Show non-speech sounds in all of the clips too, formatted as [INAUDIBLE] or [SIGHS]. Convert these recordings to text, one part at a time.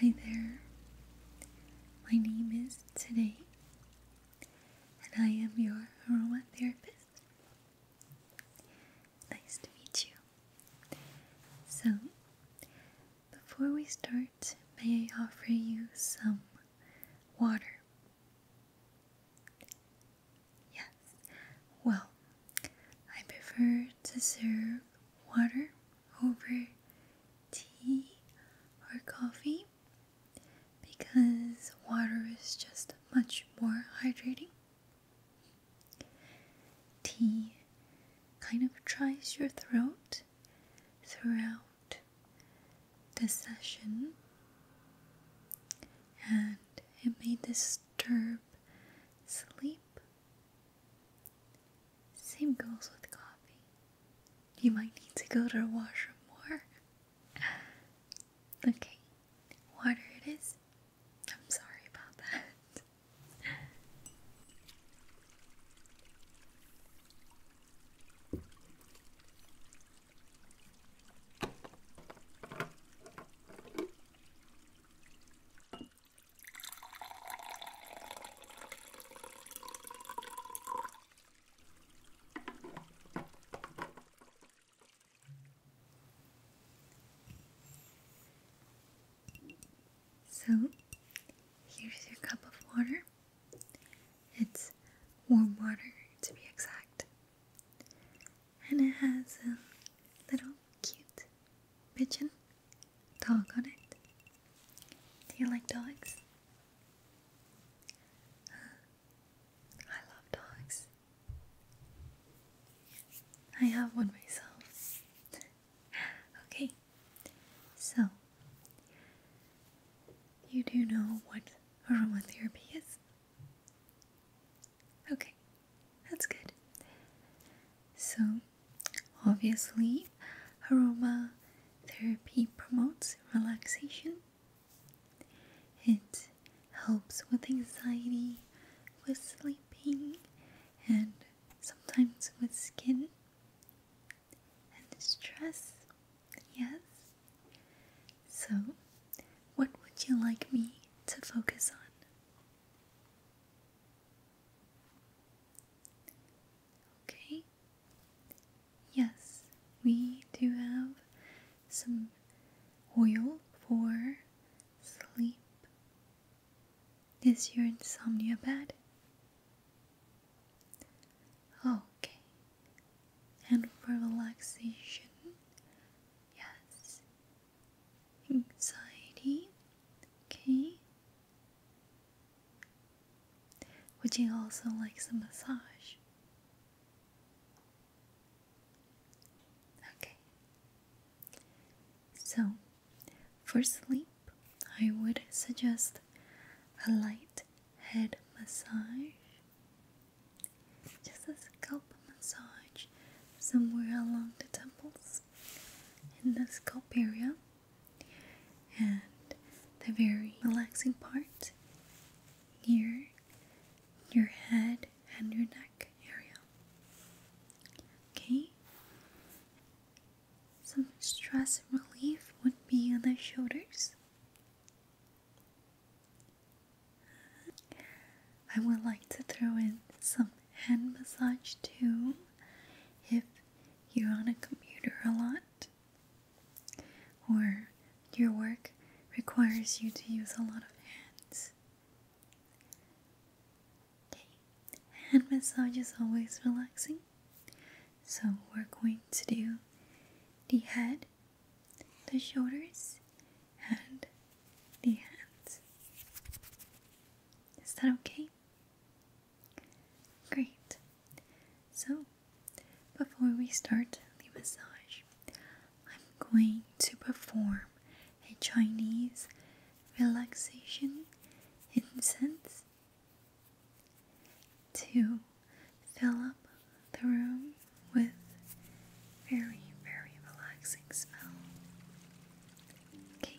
Hi there. My name is Today, and I am your aromatherapist. Nice to meet you. So, before we start, may I offer you some water? Yes. Well, I prefer to serve water over tea or coffee because water is just much more hydrating. Tea kind of dries your throat throughout the session and it may disturb sleep. Same goes with coffee. You might need to go to the washroom more. [SIGHS] Okay, water it is. I'm sorry about that. So, here's your cup of water. It's warm water to be exact. And it has a little cute pigeon Dog on it. Do you like dogs? I love dogs. I have one myself. [GASPS] okay, so you do know what aromatherapy is? Okay, that's good. So, Obviously, aroma therapy promotes relaxation. It helps with anxiety, with sleeping, and sometimes with skin and stress. Yes. So, what would you like me to focus on? Okay. Yes, we do have some oil for sleep. Is your insomnia bad? Okay. And for relaxation, yes. Anxiety, okay. Would you also like some massage? Okay. So, for sleep, I would suggest a light head massage, just a scalp massage somewhere along the temples in the scalp area. And the very relaxing part near your head and your neck area. Okay? Some stress relief would be on the shoulders. I would like to throw in some hand massage too if you're on a computer a lot, or your work requires you to use a lot of hands. Okay, hand massage is always relaxing, so we're going to do the head, the shoulders, and the hands. Is that okay? Great. So, before we start the massage, I'm going to perform a Chinese relaxation incense to fill up the room with very, very relaxing smell. Okay,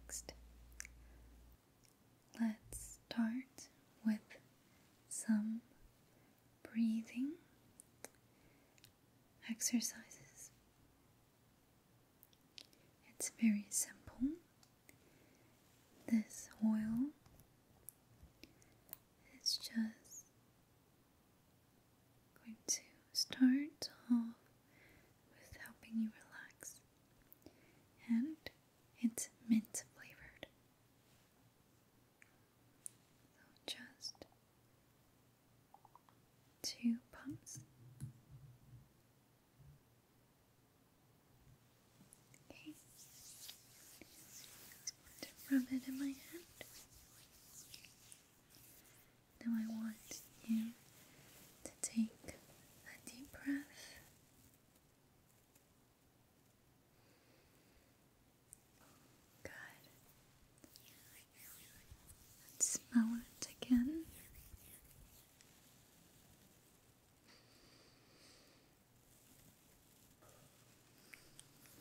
Next, let's start with some breathing exercises. It's very simple. This oil It's just going to start off with helping you relax, and it's mint flavored just two pumps. Okay. rub it in my hand. Now I want you to take a deep breath Good. smell it again.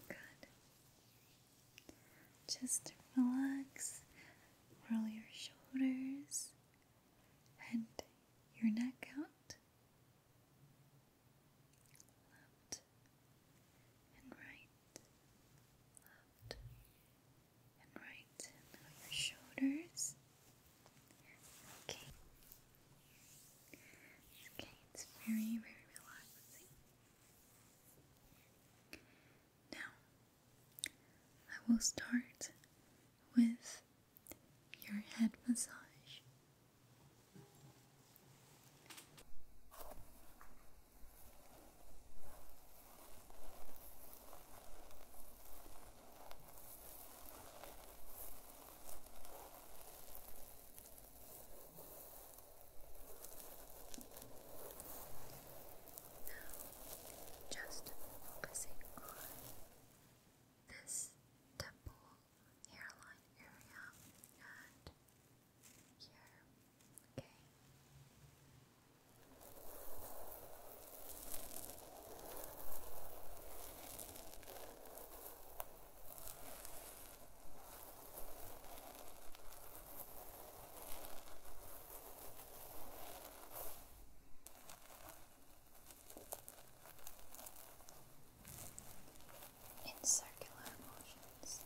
Good. Just relax, roll your shoulders and your neck out left and right, left and right, and on your shoulders. Okay. Okay, it's very, very relaxing. Now, I will start with your head massage. Now, just focusing on this temple hairline area and here. Okay in circular motions.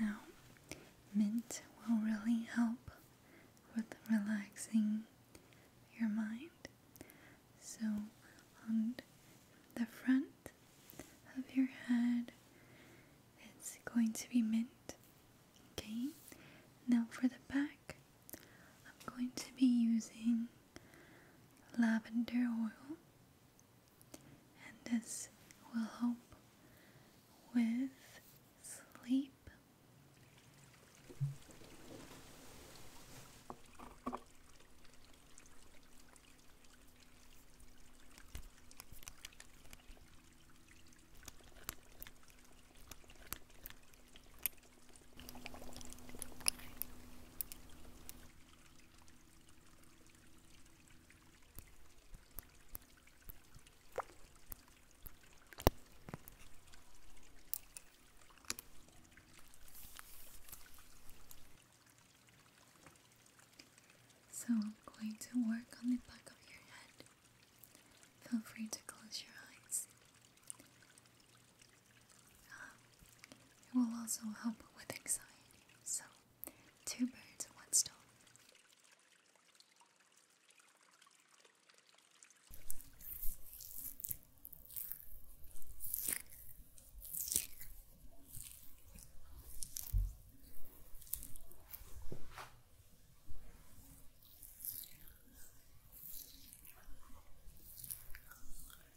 Now, mint will really help with relaxing your mind. So, on the front of your head, it's going to be mint. Okay, now for the back, I'm going to be using lavender oil, and this will help with sleep. So I'm going to work on the back of your head. Feel free to close your eyes it will also help with anxiety. So, two birds, one stone.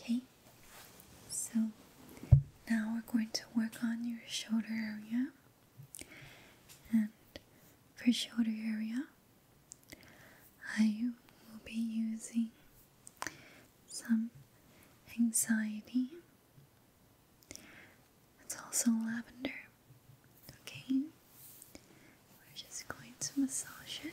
Okay. So now we're going to work on your shoulder area. And for shoulder area, I will be using some anxiety. It's also lavender. Okay, we're just going to massage it.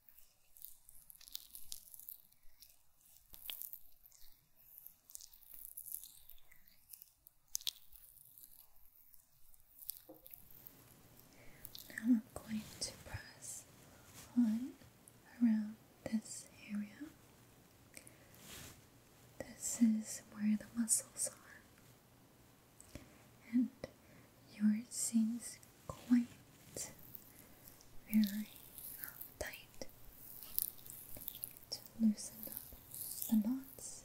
Now I'm going to press on around this area. This is where the muscles are, and your seems quite very uh, tight loosen up the knots.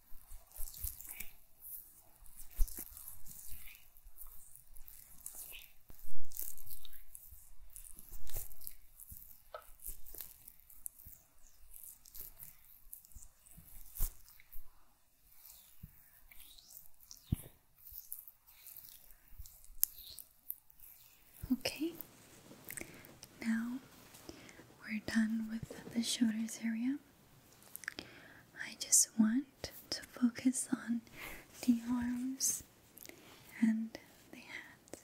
Okay, now we're done with the shoulders area. I just want to focus on the arms and the hand.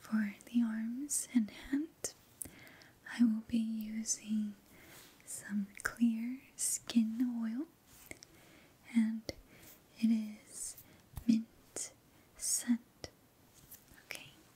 For the arms and hand, I will be using some clear skin oil, and it is mint scent. Okay,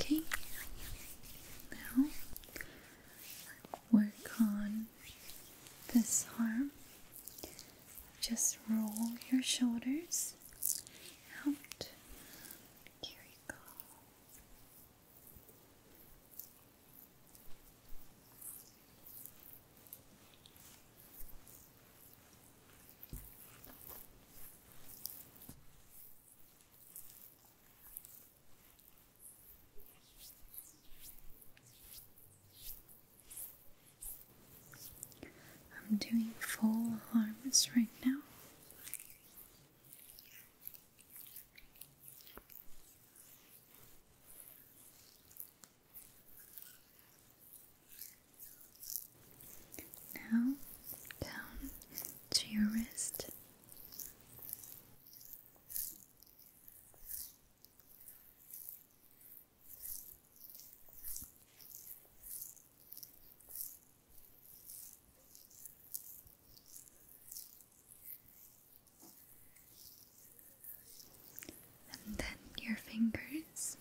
Okay, now work on this arm. Just roll your shoulders out. Here we go. I'm doing full arms right now. Now down to your wrist and then your fingers.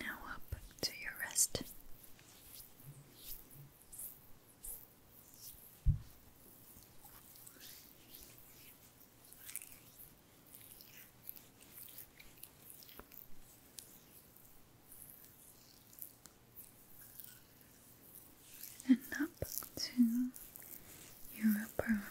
Now up to your rest and up to your upper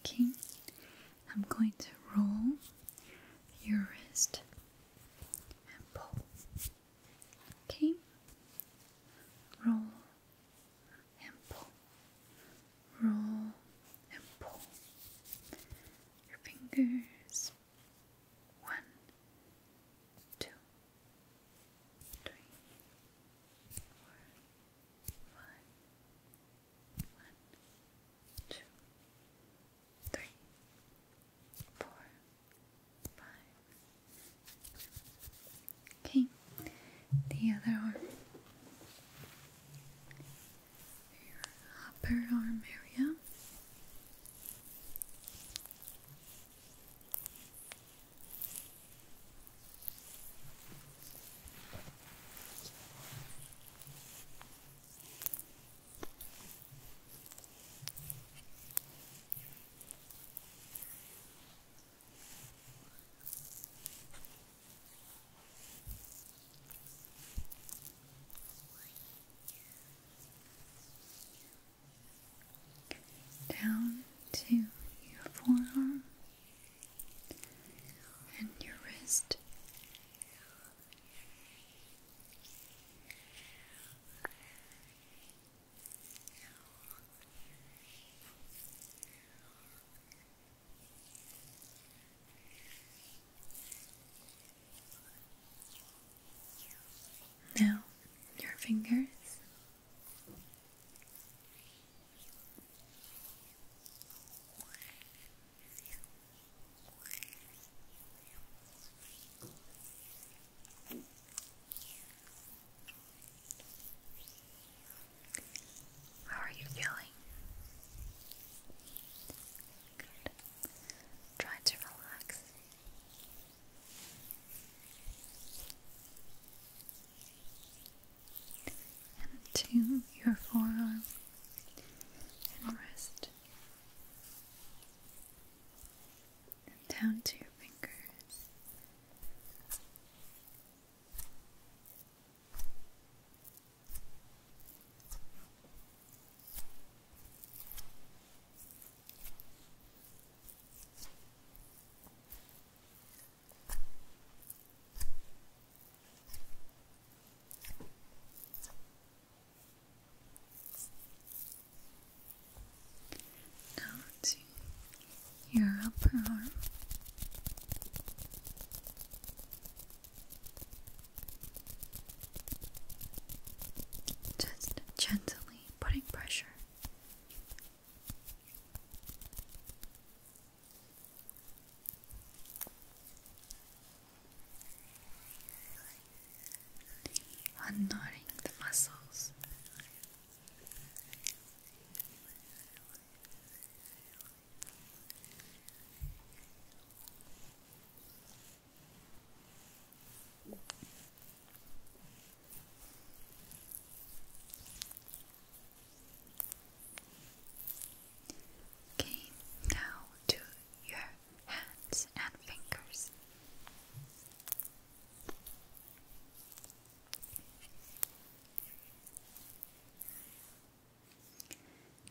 Okay, I'm going to roll your wrist and pull. Okay, roll and pull, roll and pull your fingers is one, two, three, four, five, one, two, three, four, five. Okay, the other arm your upper arm area down to your forearm and your wrist. Now, your fingers. How are you feeling? Good. Try to relax. And to your forearm and wrist, and down to your fingers. Now to your upper arm. Just gently putting pressure. Unknotting the muscles now to your hands and fingers.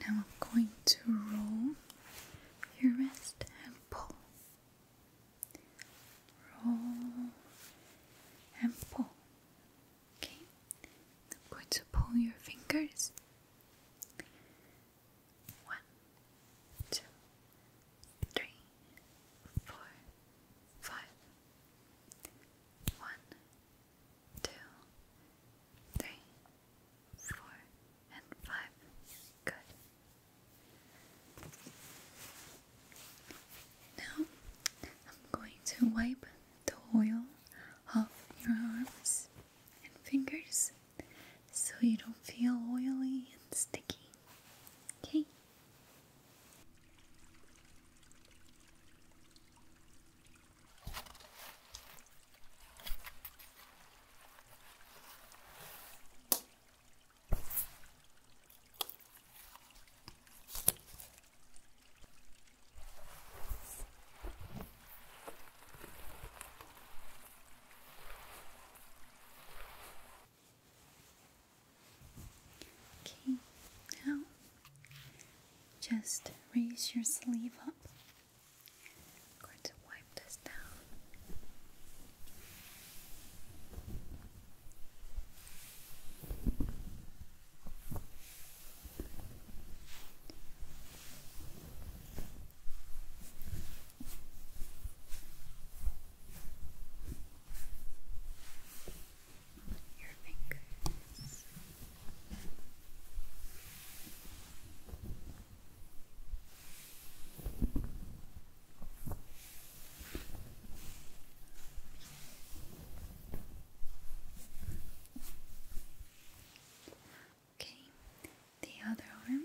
Now I'm going to roll your wrist pull. Roll and pull. Okay, I'm going to pull your fingers. One, two, three, four, five. One, two, three, four, and five. Good. Now I'm going to wipe the oil off your arms and fingers so you don't feel oily and sticky. Okay? Okay, now just raise your sleeve up I'm going to wipe this down. Your fingers. Okay, the other arm.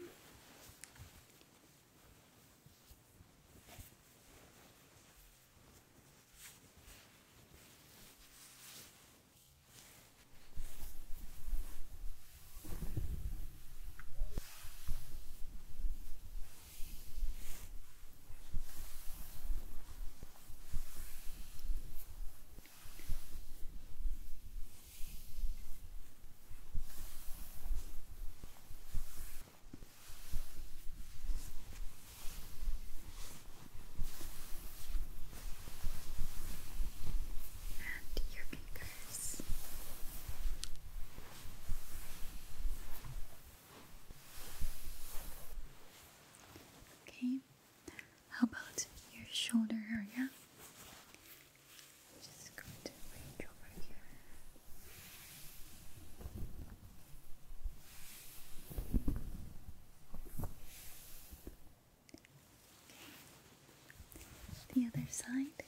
And you can go Okay, how about your shoulder area? I'm just going to reach over here. The other side.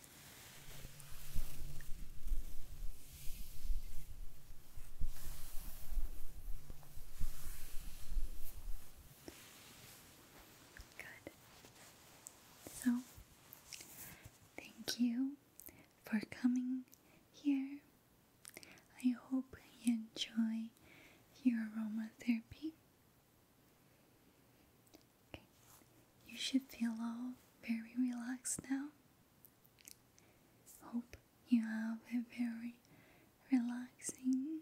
Good. So, thank you for coming here. I hope you enjoy your aromatherapy. You should feel all very relaxed now. Hope you have a very relaxing,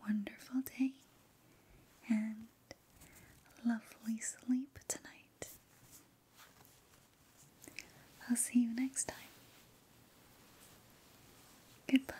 wonderful day and lovely sleep tonight. I'll see you next time. Goodbye.